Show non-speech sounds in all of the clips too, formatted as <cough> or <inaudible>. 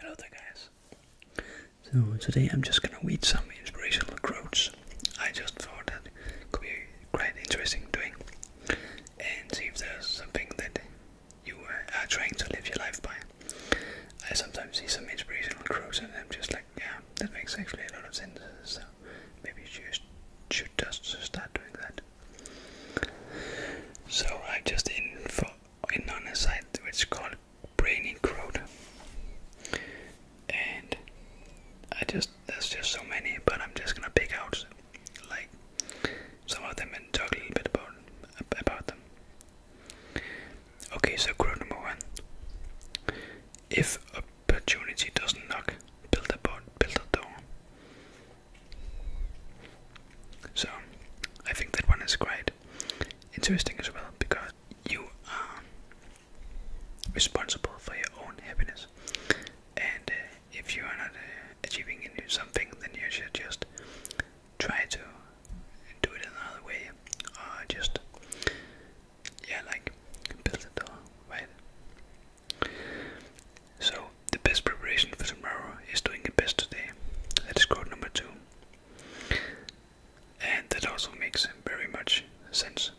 Hello guys. So today I'm just gonna read some inspirational quotes. I just thought that could be quite interesting doing and see if there's something that you are trying to live your life by. I sometimes see some inspirational quotes and I'm just like, yeah, that makes actually a lot of sense. So maybe you should, should just start doing that. So I just in for in on a site which is called Brainy Crowd, and I just there's just so many, but I'm just gonna pick out like some of them and talk a little bit about about them. Okay, so quote number one: If opportunity doesn't knock, build a boat, build a door. So, I think that one is quite interesting as well because you are responsible for your own happiness, and uh, if you are not uh, achieving into something, then you should just try to do it another way, or just yeah, like build it all right. So, the best preparation for tomorrow is doing your best today. That is code number two. And that also makes very much sense.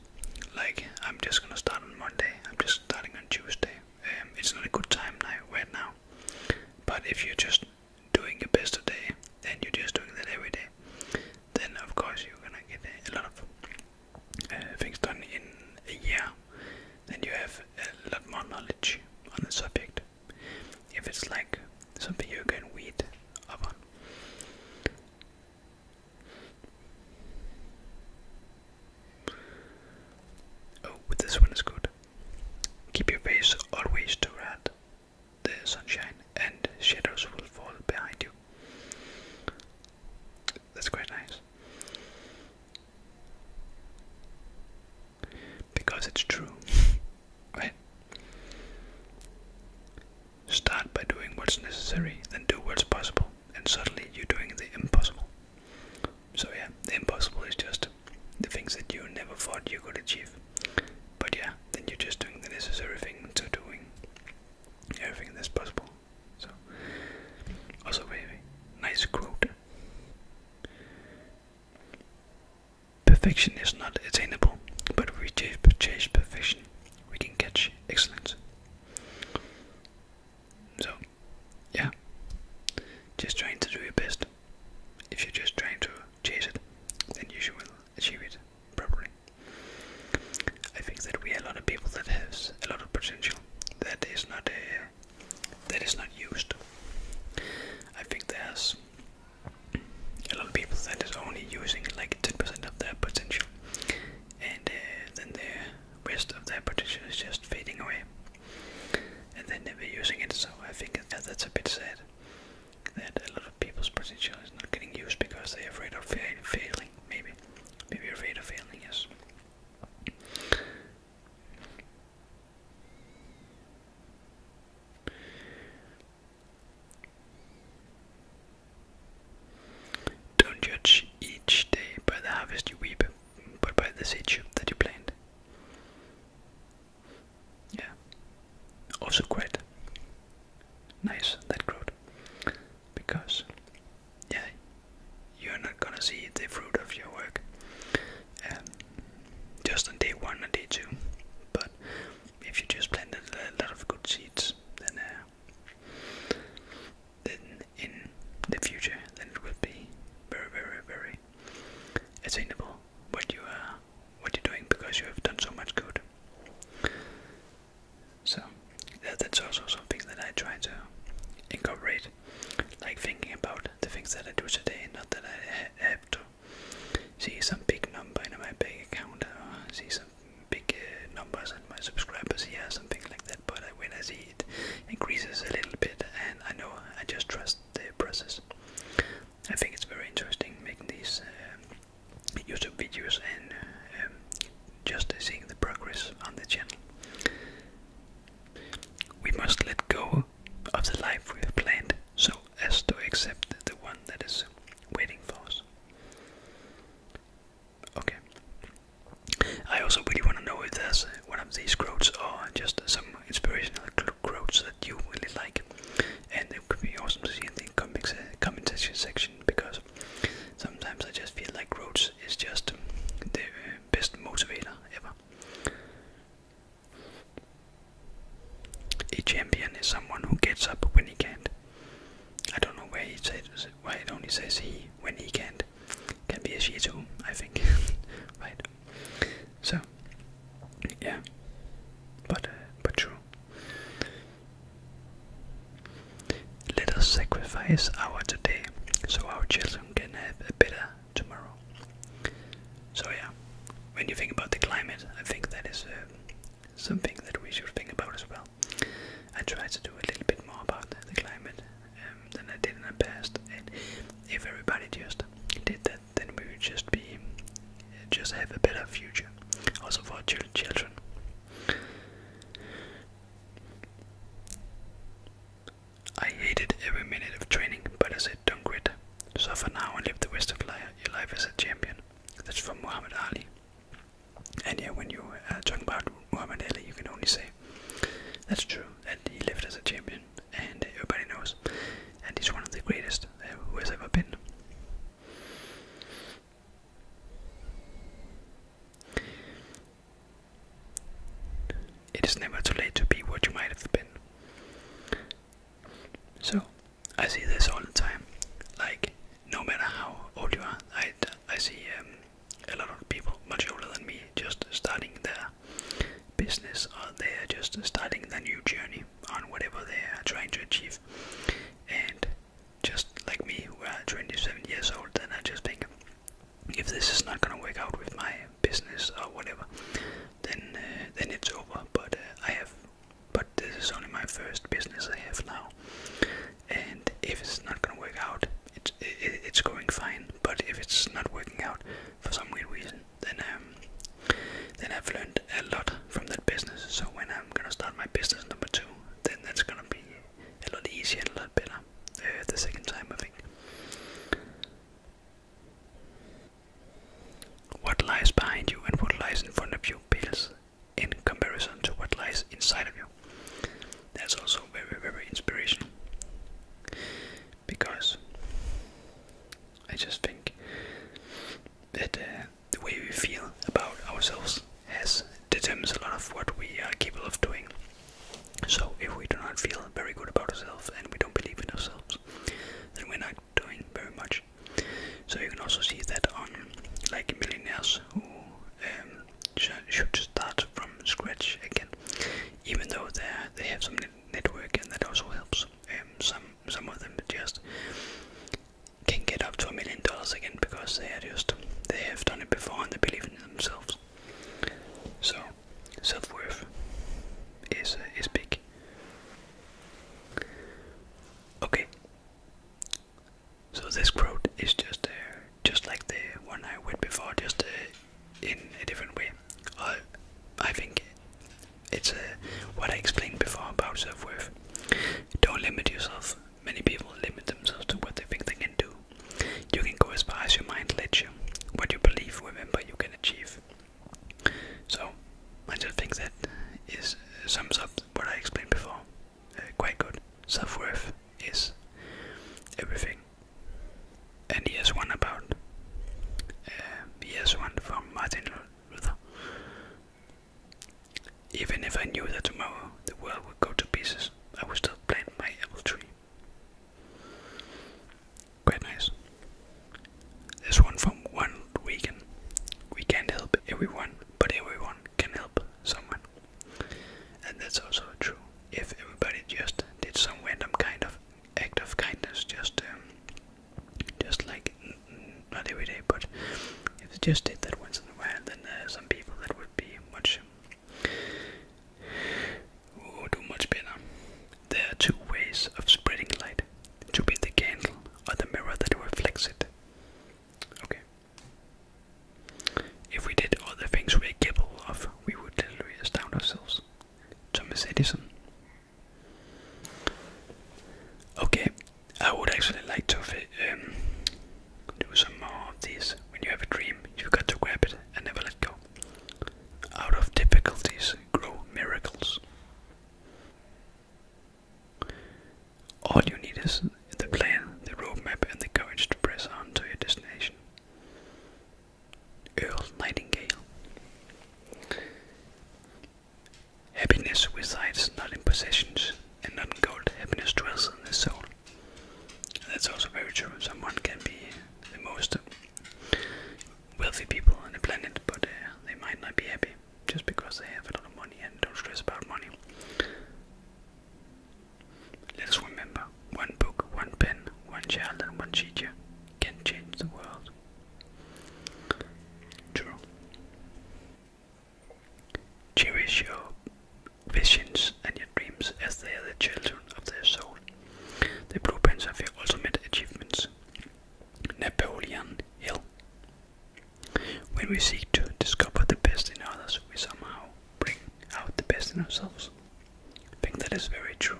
Like, I'm just gonna start on Monday, I'm just starting on Tuesday. Um, it's not a good time now, right now. But if you're just doing your best today, then you're just doing that every day, then of course you're gonna get a lot of uh, things done in a year then you have a lot more knowledge on the subject. If it's like something you can read up Oh, this one is good. Keep your face always toward the sunshine, and shadows will fall behind you. That's quite nice. Because it's true, <laughs> right? Start by doing what's necessary, then do what's possible, and suddenly you're doing the impossible. So, yeah, the impossible is just the things that you never thought you could achieve. But, yeah, then you're just doing the necessary thing to doing everything that's possible. So, also, very nice quote Perfection is not attainable, but if we chase perfection, we can catch excellence. So, yeah, just trying to do your best. If you're just trying to chase it, then you achieve it properly. I think that we a lot of people that has a lot of potential that is not uh, that is not used. I think there's a lot of people that is only using like 10% of their potential, and uh, then the rest of their potential is just fading away, and they never using it. So I think that's a bit sad that a lot of people's potential is not getting used because they're afraid of failing. Maybe, maybe afraid of failing. Yes. Don't judge each day by the harvest you reap, but by the seed you plant. Yeah, also quite nice that quote, because yeah, you're not gonna see the fruit of your work um, just on day one and day two. But if you just planted a lot of good seeds, then uh, then in the future, then it will be very, very, very attainable what you are, what you're doing because you have done so much good. So that's also something that I try to incorporate like thinking about the things that I do today, not that I have to see some big number in my bank account uh, see some big uh, numbers and my subscribers here, something like that. But I uh, I see it increases a little bit, and I know I just trust the process. I think it's very interesting making these YouTube videos and um, just seeing the progress on the channel. We must let go of the life we have planned so as to accept the one that is waiting for us. Okay. I also really want to know if there's one of these quotes or just some inspirational quotes that you really like. And it would be awesome to see in the comments, uh, comment section because sometimes I just feel like quotes is just um, uh, best motivator ever. A champion is someone who gets up when he can't. I don't know why it says why it only says he when he can't. Can be a she too, I think. <laughs> right. So yeah. But uh, but true. Let us sacrifice our today so our children can have a better tomorrow. So, yeah, when you think about the climate, I think that is uh, something that we should think about as well. I try to do a little bit more about the climate um, than I did in the past, and if everybody just did that, then we would just be just have a better future, also for our children. I hated every minute of training, but I said, don't quit. Suffer now and live the rest of your life as a champion. That's from Muhammad Ali. And yeah, when you're uh, talking about Muhammad Ali, you can only say that's true, and he lived as a champion, and everybody knows. And he's one of the greatest uh, who has ever been. It is never too late to be what you might have been. So, I see this all the time. Like, no matter how old you are, I, I see um, a lot of people much older than me just starting their business or they're just starting their new journey on whatever they are trying to achieve. And just like me who are 27 years old and I just think if this is not gonna work out with my business or whatever then uh, then it's over but uh, I have but this is only my first business I have now and if it's not gonna work out it's it, it's going fine but if it's not working out for some weird reason then um then I've learned a lot from that business so when I'm gonna start my business number two then that's gonna be a lot easier and a lot better uh, the second time, I think. What lies behind you and what lies in front of you feels, in comparison to what lies inside of you. That's also very, very inspirational because I just think that uh, the way we feel about ourselves has determines a lot of what we are capable of doing. So, if we do not feel very good about ourselves and we don't believe in ourselves, then we're not doing very much. So, you can also see that on like millionaires who um, should start from scratch again, even though they have some network and that also helps. Um, some some of them just can get up to a million dollars again because they are just they have done it before and they believe in themselves. So self worth is uh, is big. Okay. So this quote is just uh, just like the one I read before, just uh, in a different way. I I think it's what I explained before about self worth. Don't limit yourself Many people limit themselves to what they think they can do. You can go as far as your mind lets you. What you believe, remember, you can achieve. So, I just think that is sums up what I explained before. Uh, quite good. Self worth is everything. And here's one about. Uh, here's one from Martin Luther. Even if I knew that tomorrow the world would go to pieces, I would still plant my apple tree. Quite nice. There's one from one weekend. We can't help everyone, but everyone can help someone. And that's also true. If everybody just did some random kind of act of kindness, just um, just like not every day, but if just did that once elsewhere than some people that would be much do much better. There are two ways of spreading light: to be the candle or the mirror that reflects it. Okay. If we did all the things we're capable of, we would literally astound ourselves. Thomas Edison. Okay, I would actually like to um, do some more of these. When you have a dream, you've got to grab it and never let go. Out of difficulties grow miracles. All you need is the plan, the roadmap, and the courage to press on to your destination. Earl Nightingale. Happiness resides not in possessions and not in gold. Happiness dwells in the soul. that's also very true. Someone can be the most wealthy people on the planet, but uh, they might not be happy just because they have a lot of money and don't stress about money. Let us remember one book, one pen, one child, and one teacher can change the world. True. Cherish your visions and your dreams as they are the children of their soul. The blueprints of your ultimate achievements. Napoleon Hill. When we seek to discover the best in others, we somehow bring out the best in ourselves. I think that is very true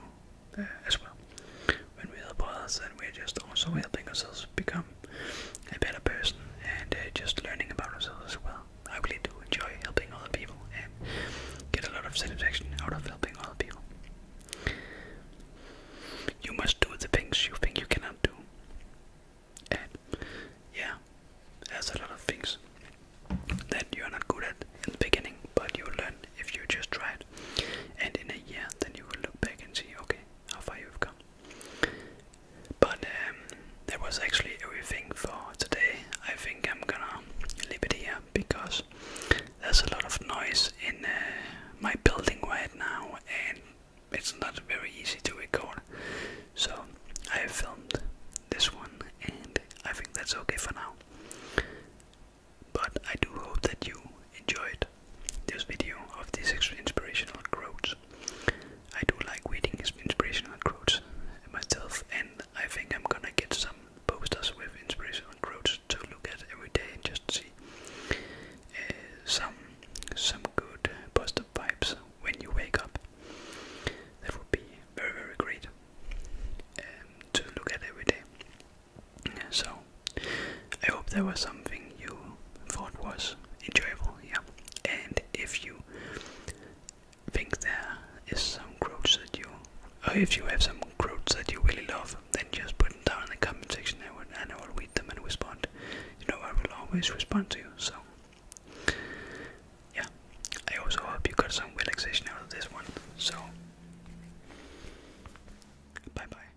uh, as well. When we help others, then we're just also helping ourselves become know, a better person and uh, just learning about ourselves as well. I really do enjoy helping other people and get a lot of satisfaction out of helping other people. You must do the things you think you cannot do. And yeah, there's a lot of things that you're not good at in the beginning, but you'll learn if you just try it. And in a year, then you will look back and see, okay, how far you've come. But um, that was actually everything for today. I think I'm gonna leave it here because there's a lot of noise in uh, my building right now and it's not very easy to record. So I filmed this one and I think that's okay for now. But I do hope that you enjoyed this video of these inspirational quotes. I do like reading inspirational quotes myself, and I think I'm gonna get some posters with inspirational quotes to look at every day and just see uh, some some good positive vibes when you wake up. That would be very very great um, to look at every day. So I hope there was something you thought was enjoyable, yeah. And if you think there is some quotes that you, or if you have some quotes that you really love, then just put them down in the comment section and and I will read them and respond. You know, I will always respond to you, so. Yeah, I also hope you got some relaxation out of this one. So, bye bye.